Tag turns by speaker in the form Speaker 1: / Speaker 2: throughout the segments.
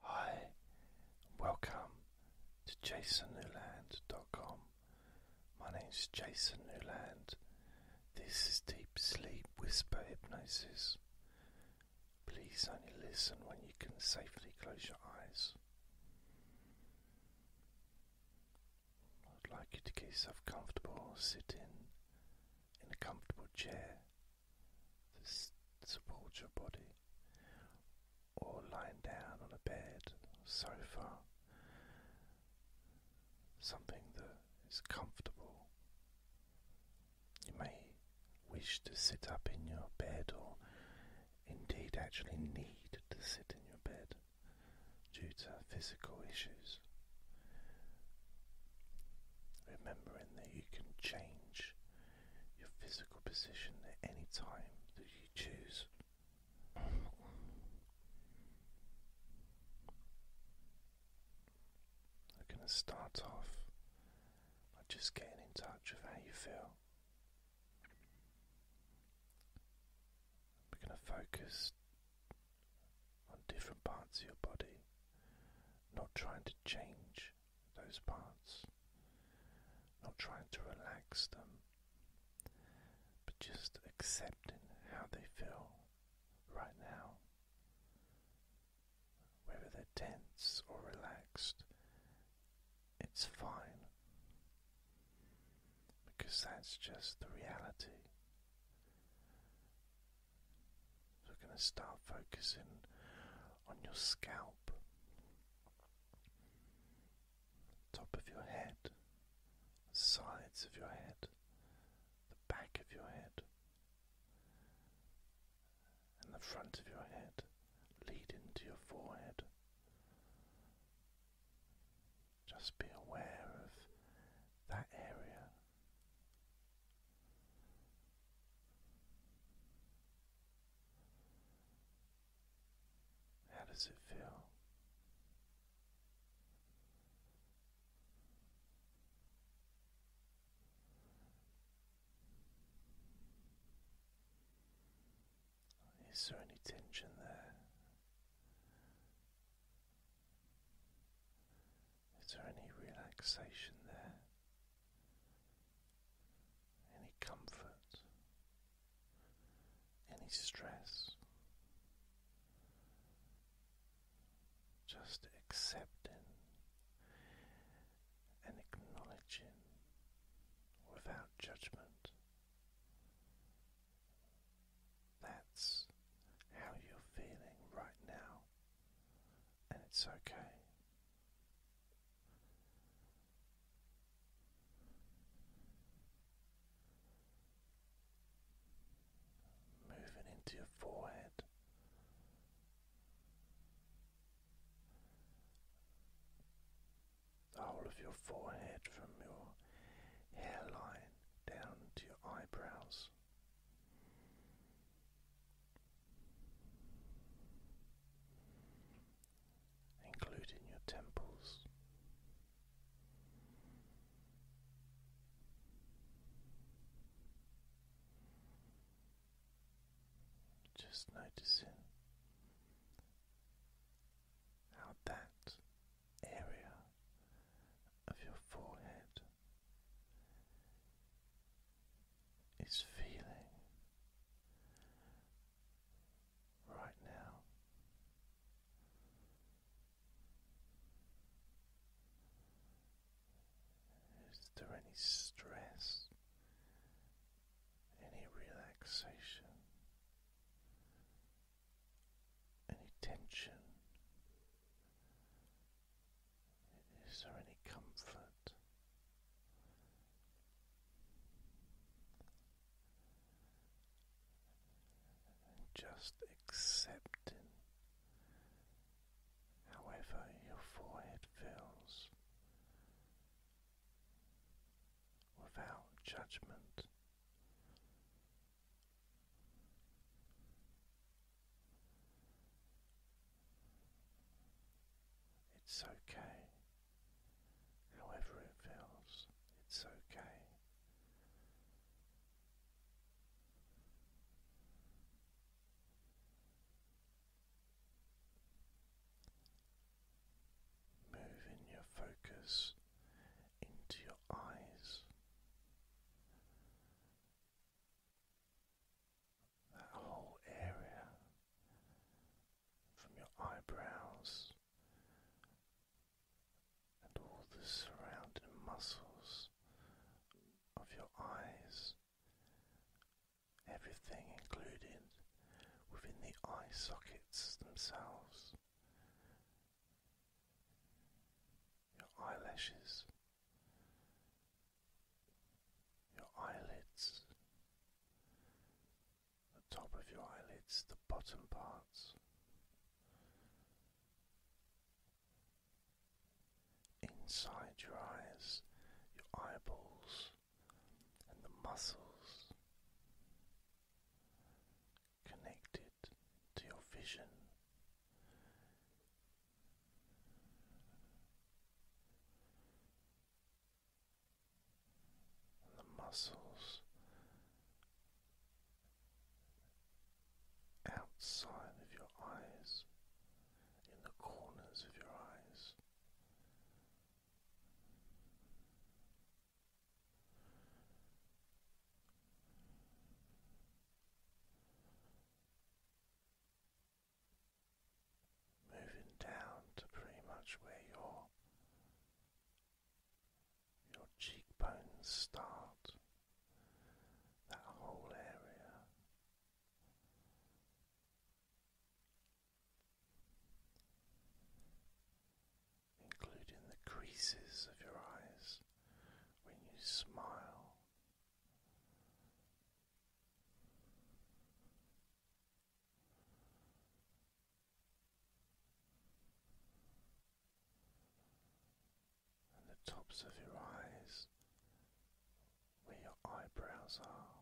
Speaker 1: Hi, welcome to jasonnewland.com. My name is Jason Newland. This is Deep Sleep Whisper Hypnosis. Please only listen when you can safely close your eyes. I'd like you to get yourself comfortable sitting in a comfortable chair to support your body, or lying down on a bed, sofa, something that is comfortable. You may wish to sit up in your bed, or indeed actually need to sit in your bed due to physical issues. Remembering that you can change your physical position at any time that you choose. We're going to start off by just getting in touch with how you feel. We're going to focus on different parts of your body, not trying to change those parts, not trying to relax them, but just accepting how they feel right now, whether they're tense or relaxed, it's fine because that's just the reality. we're going to start focusing on your scalp top of your head, the sides of your head, the back of your head, and the front of your head, leading to your forehead. Just be aware of that area. How does it feel? Is there any tension there? Is there any relaxation there? any comfort, any stress. Just accepting and acknowledging without judgment. That's how you're feeling right now, and it's okay. Moving into your forehead, the whole of your forehead from your hairline down to your eyebrows including your temples. Just noticing how that area of your forehead is feeling right now. Is there any stress, any relaxation, any tension, is there any comfort? just accepting however your forehead feels without judgment. It's okay. However it feels, it's okay. Moving your focus into your eyes that whole area from your eyebrows and all the surrounding muscles of your eyes, everything included within the eye sockets themselves, your eyelashes, your eyelids, the top of your eyelids, the bottom parts. Inside your eyes, your eyeballs, and the muscles connected to your vision the muscles outside of your eyes, in the corners of your eyes moving down to pretty much where your your cheekbones start, that whole area. Including the creases of your eyes when you smile, the tops of your eyes, where your eyebrows are,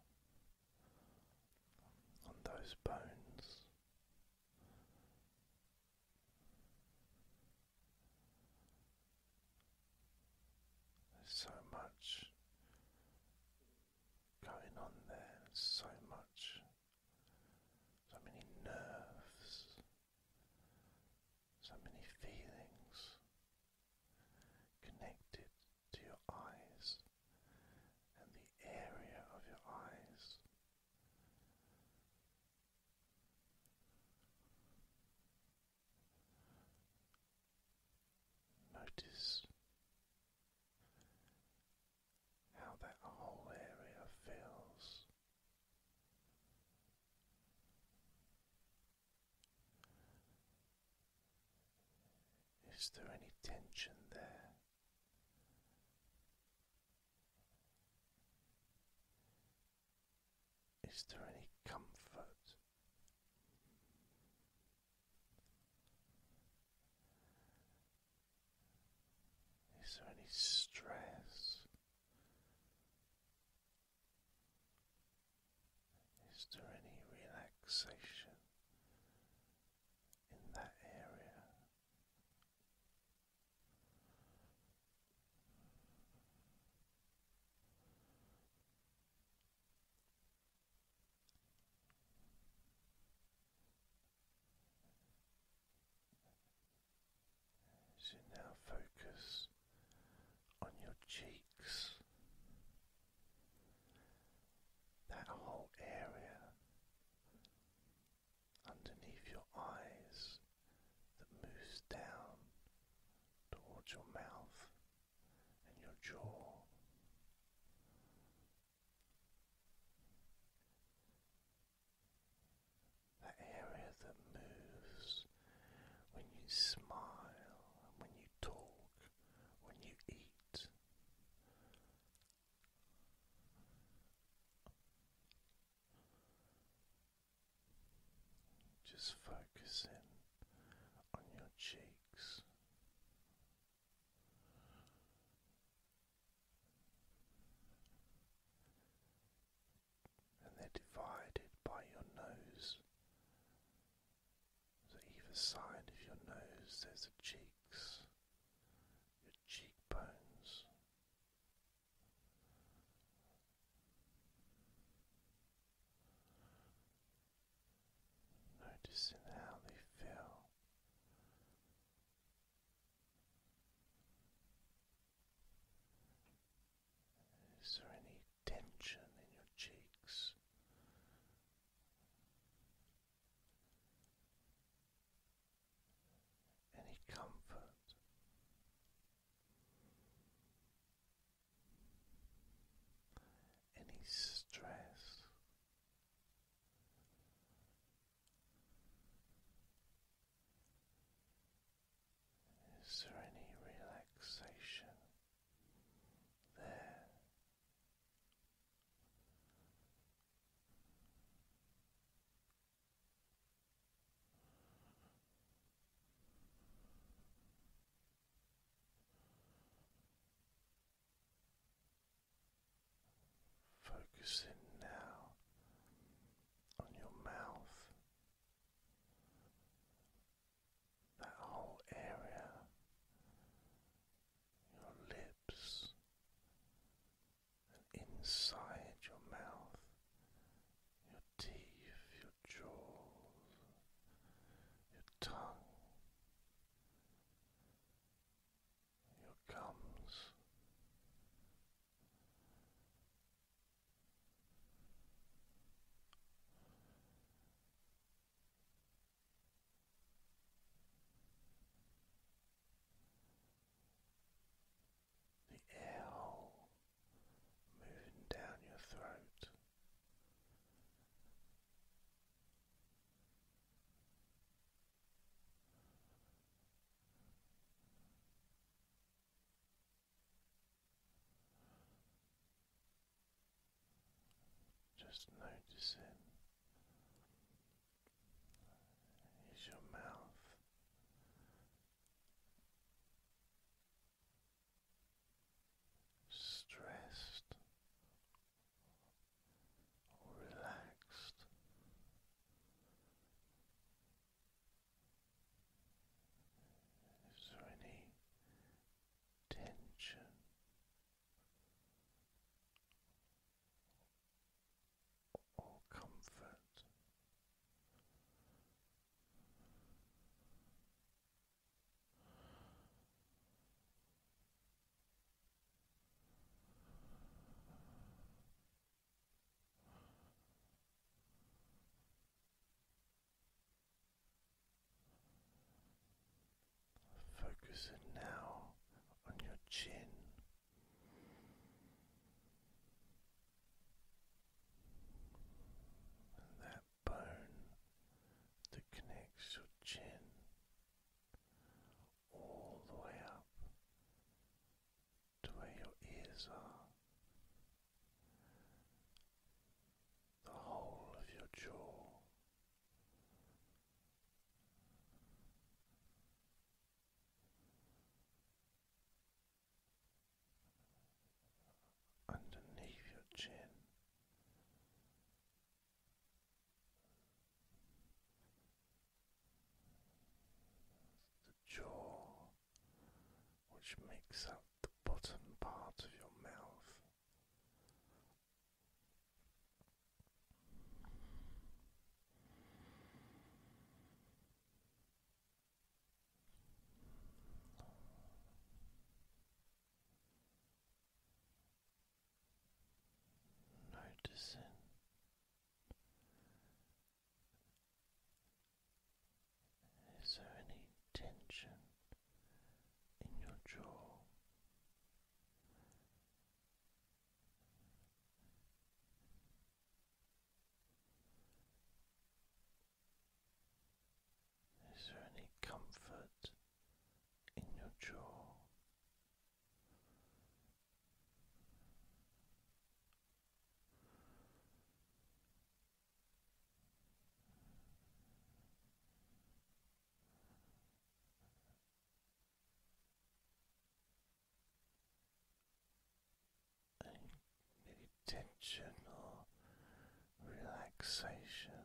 Speaker 1: on those bones. There's so much going on there, so much, so many nerves, so many feelings connected to your eyes and the area of your eyes. Notice how that whole area feels. Is there any tension there? Is there any comfort? Is there any stress? Is there any relaxation in that area? As now focus on your cheeks, that whole area underneath your eyes that moves down towards your mouth and your jaw. That area that moves when you smile, when you talk, when you eat. Just focusing on your cheeks, and they're divided by your nose. So, either side of your nose, there's the cheeks, your cheekbones noticing how they feel. Is there any tension in your cheeks? Any comfort? any stress. Is there any relaxation there? Focusing now on your mouth, that whole area, your lips, inside your mouth, your teeth, your jaws, your tongue your comes, The air hole moving down your throat. Just noticing is your mouth. Stressed relaxed. Is there any tension or comfort? Focusing now on your chin bone that connects your chin all the way up to where your ears are. The whole of your jaw. Underneath your chin, the jaw, which makes up the bottom part of your mouth noticing is there any tension in your jaw? Is there any comfort in your jaw? Any tension or relaxation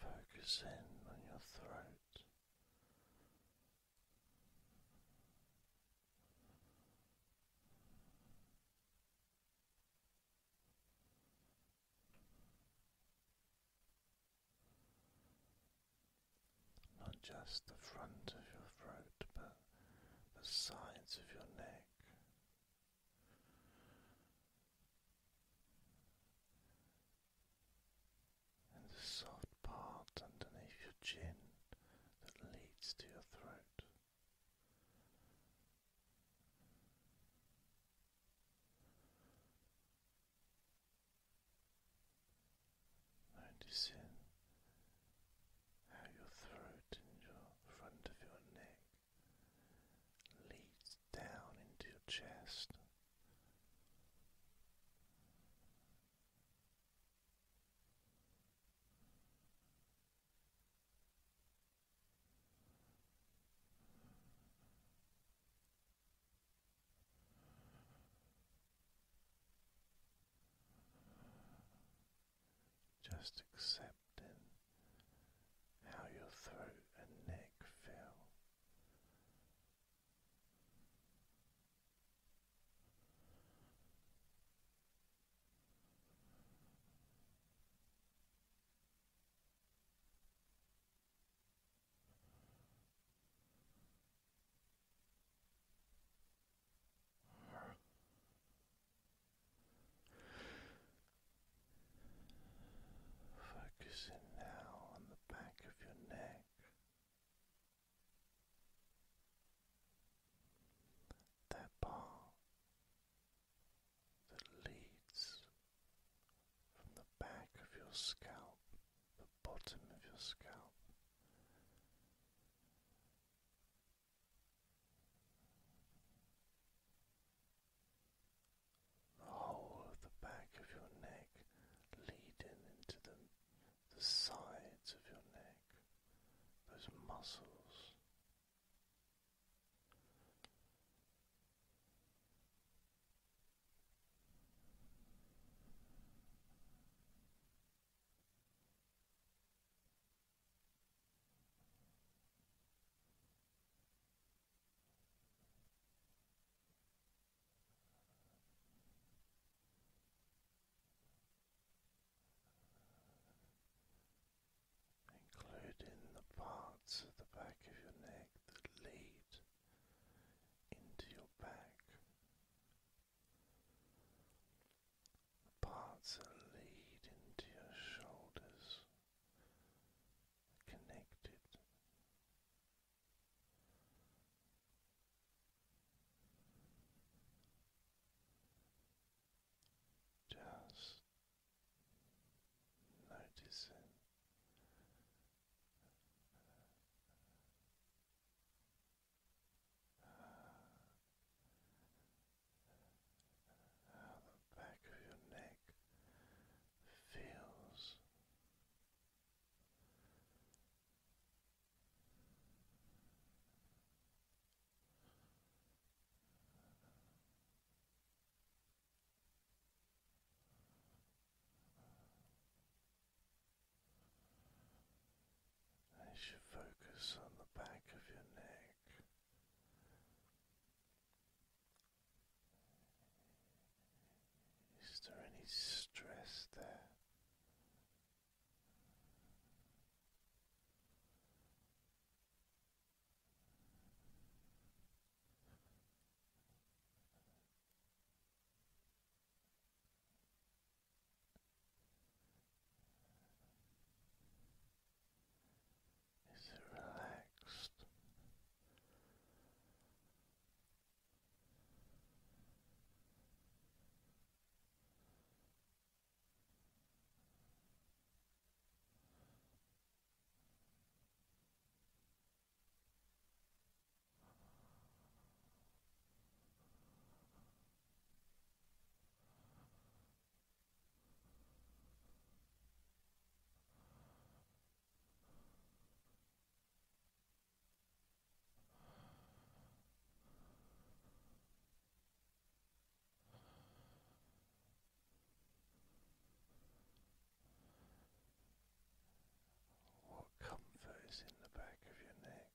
Speaker 1: Focus in on your throat. Not just the front of your throat, but the sides of your neck and the soft part underneath your chin that leads to your throat. Noticing how your throat and your front of your neck leads down into your chest just accepting how your throat and neck feel. Focusing now on the back of your neck. That part that leads from the back of your scalp, the bottom of your scalp, the whole of the back of your neck leading into the, the sides of your neck, those muscles. Including the parts of the back of your neck that lead into your back, the parts that lead into your shoulders connected. Just noticing how the back of your neck feels. As you focus on the back of your neck, is there any stress there? Is it relaxed? What comfort is in the back of your neck?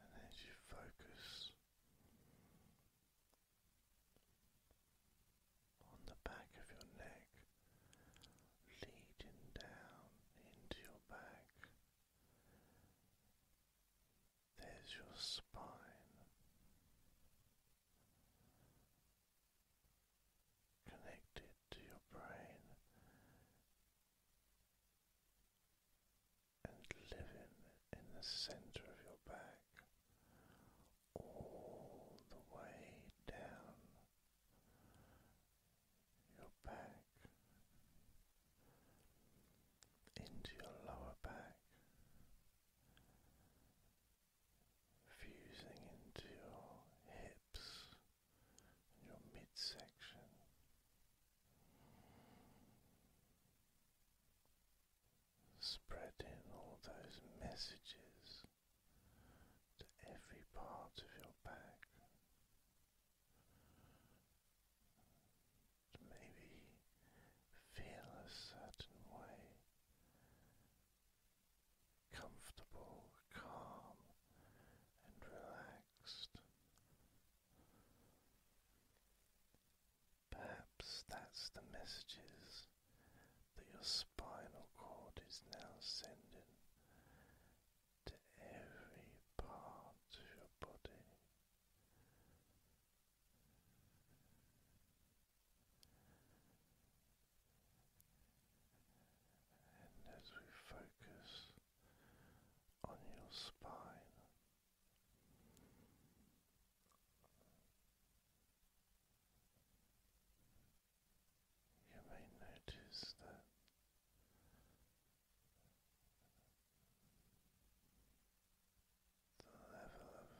Speaker 1: And as you focus on the back of your neck, leading down into your back. There's your spine connected to your brain and living in the center of your back all the way down your back into your lower back, fusing into your hips and your midsection. Spreading all those messages to every part of your back. Maybe feel a certain way. Comfortable, calm, and relaxed. Perhaps that's the messages that your spinal cord is now sending to every part of your body. And as we focus on your spine, you may notice that the level of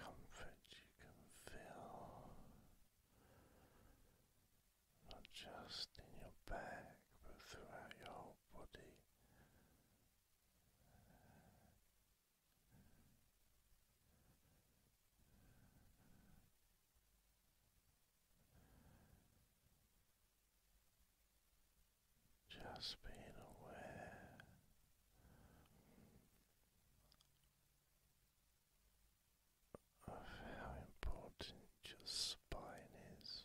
Speaker 1: comfort you can feel not just in your back but throughout your whole body. Just being aware of how important your spine is.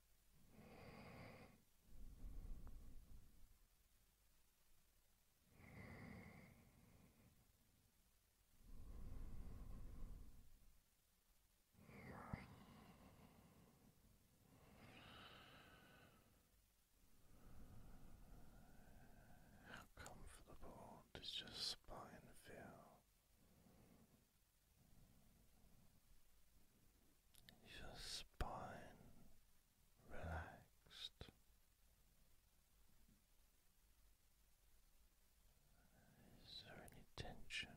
Speaker 1: How comfortable does your spine feel? your spine relaxed, is there any tension?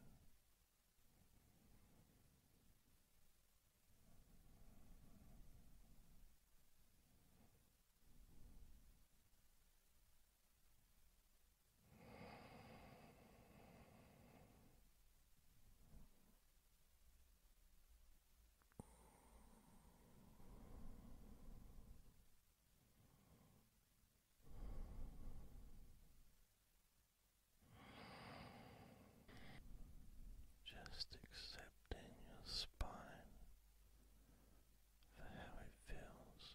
Speaker 1: Just accepting your spine for how it feels.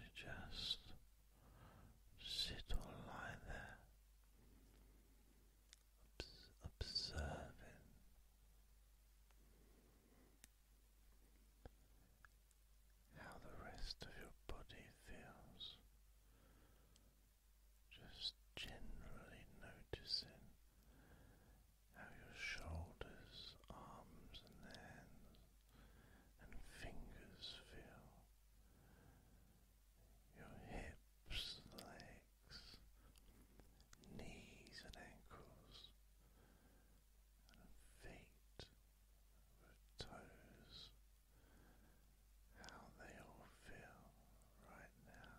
Speaker 1: You just sit or lie there, observing how the rest of your body feels. Just generally noticing how your shoulders, arms, and hands and fingers feel. Your hips, legs, knees, and ankles, feet with toes how they all feel right now.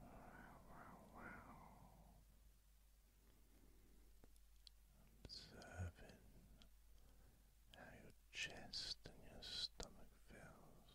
Speaker 1: Wow, wow, Observing how your chest and your stomach feels.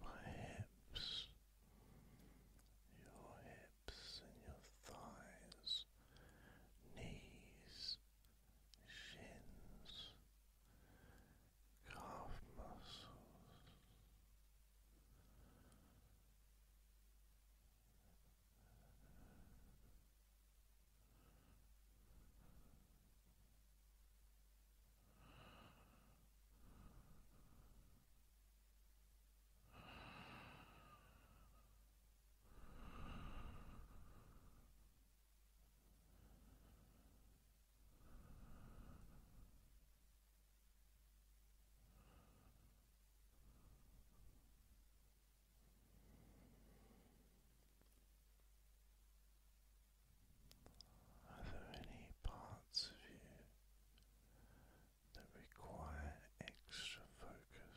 Speaker 1: My hips, your hips and your thighs, knees, shins, calf muscles, are there any parts of you that require extra focus?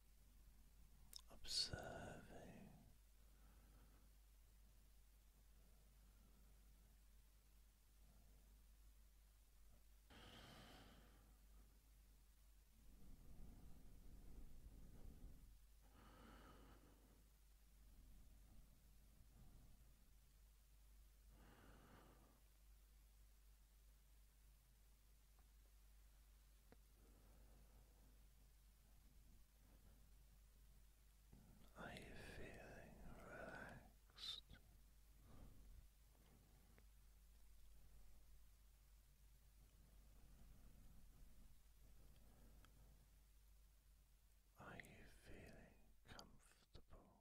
Speaker 1: observing are you feeling relaxed? Are you feeling comfortable?